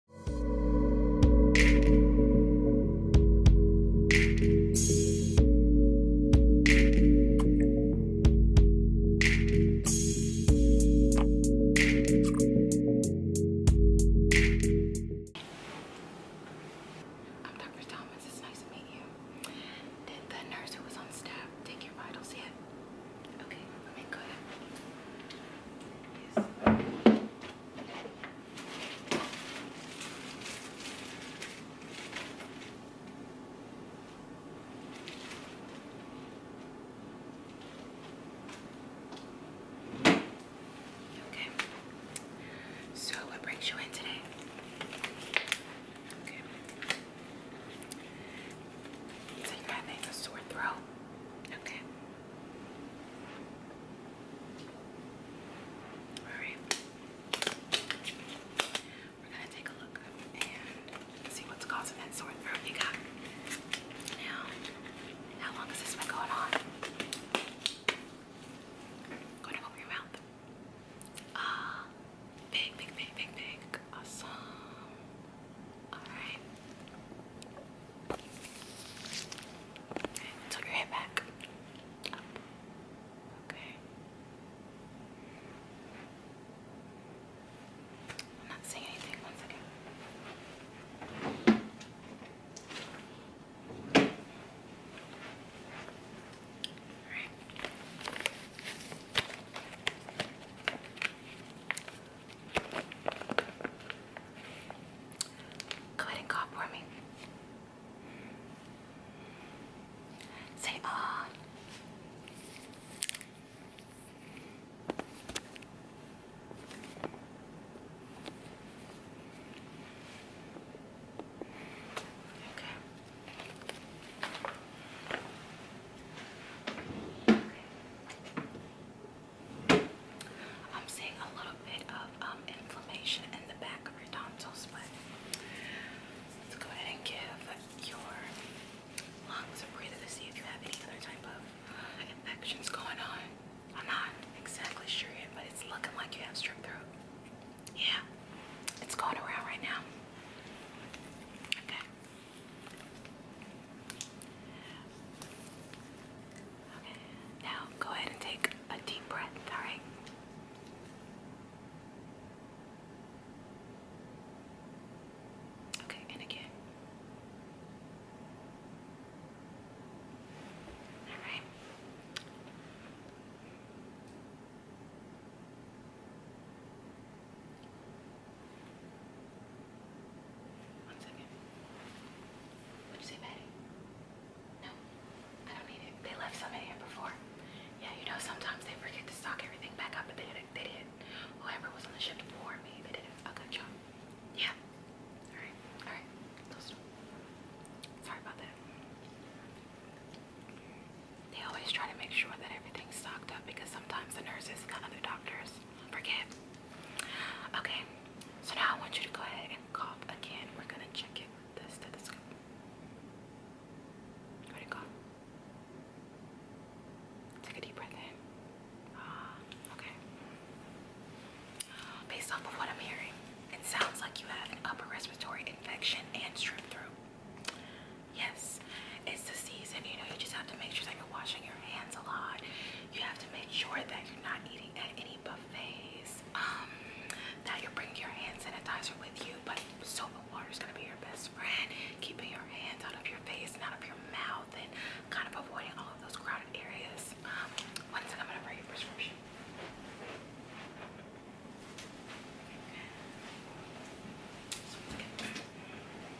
I'm Dr. Thomas. It's nice to meet you. Did the nurse who was on staff take your vitals yet? Okay, let me go ahead. Okay. So what brings you in today? Okay. So you're having a sore throat. Okay. Alright. We're gonna take a look and see what's causing that sore throat you got. Now, how long has this been going on? Go to open your mouth. Ah, big, big, big, big, big. Awesome. Alright. Okay, tuck your head back. Okay. I'm not seeing anything. One second. All right. Go ahead and call for me. Say, ah. Okay. Okay. I'm seeing a little bit of um, inflammation in the back of your tonsils, but let's go ahead and give your lungs a breather to see if you have any other type of infections going on. I'm not exactly sure yet, but it's looking like you have strep throat. Yeah, it's going around right now. Okay. Okay, now go ahead and take a deep breath, all right? Okay, and again. All right. One second. Would you say Betty? No, I don't need it. They left some in here before. Yeah, you know, sometimes they forget to stock everything back up, but they did They did. Whoever was on the ship before me, they did a good job. Yeah. All right. All right. Sorry about that. They always try to make sure that everything stocked up because sometimes the nurses and other doctors forget. Okay, so now I want you to go ahead and cough again. We're gonna check it with the stethoscope. Go Take a deep breath in. Ah, okay. Based off of what I'm hearing, it sounds like you have an upper respiratory infection and strep throat. Yes, it's the season. You know, you just have to make sure that you're washing your hands a lot. You have to make sure that you're not eating at any buffets. Um, that you're bringing your hand sanitizer with you, but soap and water is gonna be your best friend. Keeping your hands out of your face and out of your mouth, and kind of avoiding all of those crowded areas. Um, one second, I'm gonna write your prescription.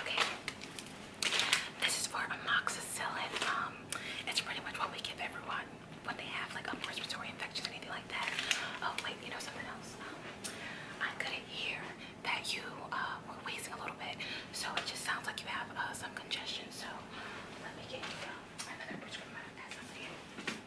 Okay. This is for amoxicillin. Um, it's pretty much what we give everyone when they have like a respiratory infection or anything like that. Oh wait, you know something else. Um, I couldn't hear that you uh, were wheezing a little bit, so it just sounds like you have uh, some congestion. So let me get you uh, another prescription. That's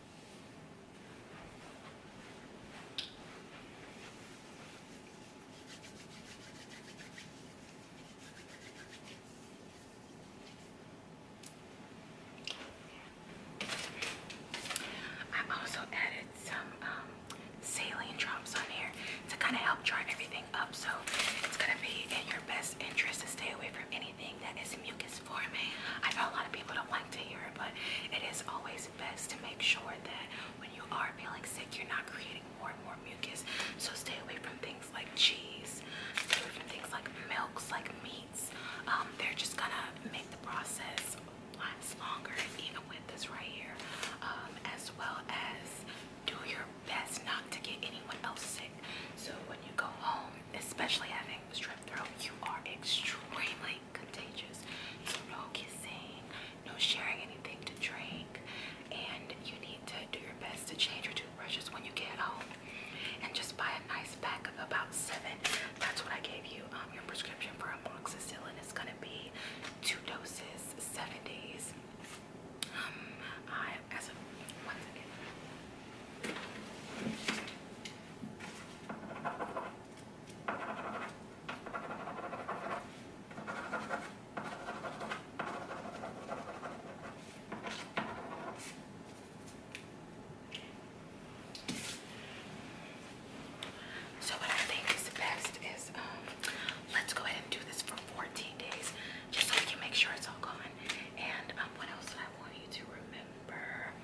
I also added some um, saline drops on here to kind of help dry everything up. So it's going to be in your best interest to stay away from anything that is mucus forming. I know a lot of people don't to hear it, but it is always best to make sure that when you are feeling sick, you're not creating more and more mucus. So stay away from things like cheese, stay away from things like milks, like meats. Um, they're just gonna make the process last longer, even with this right here. Um, as well as do your best not to get anyone else sick. So when you go home, especially having you are extremely contagious. So no kissing, no sharing anything to drink, and you need to do your best to change your toothbrushes when you get home. And just buy a nice pack of about seven. That's what I gave you. Um, your prescription for amoxicillin is gonna be two doses, seven days. Um, I as so what I think is best is um, let's go ahead and do this for 14 days just so we can make sure it's all gone. And um, what else do I want you to remember?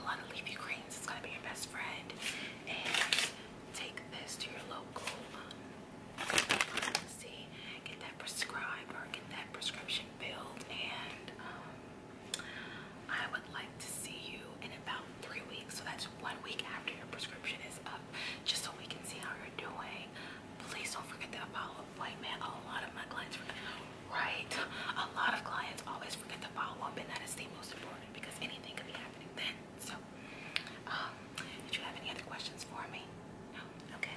a lot of leafy greens. It's gonna be your best friend. And take this to your local um, get that prescribed or get that prescription filled. And um, I would like to see you in about three weeks. So that's one week after your prescription is up, just so we can see how you're doing. Please don't forget that follow-up appointment. A lot of my clients forget Right. A lot of clients always forget to follow up, and that is the most important because anything could be happening then. So, um, did you have any other questions for me? No? Okay.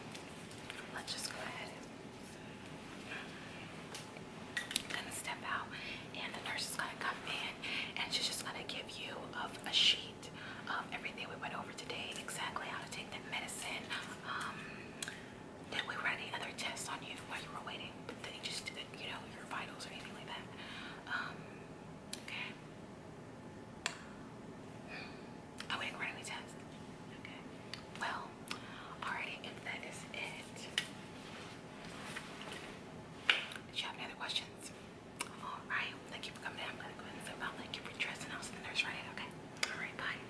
Let's just go ahead and gonna mm-hmm, step out, and the nurse is gonna come in, and she's just gonna give you of a sheet of everything we went over today, exactly how to take that medicine. Um, did we run any other tests on you while you were waiting? But they just uh, you know, your vitals or anything like that. Um, okay. Oh, we run any tests. Okay. Well, alrighty, and that is it. Did you have any other questions? Alright, thank you for coming in. I'm gonna go ahead and flip out. Thank you for dressing. I'll see the nurse right in, okay? Alright, bye.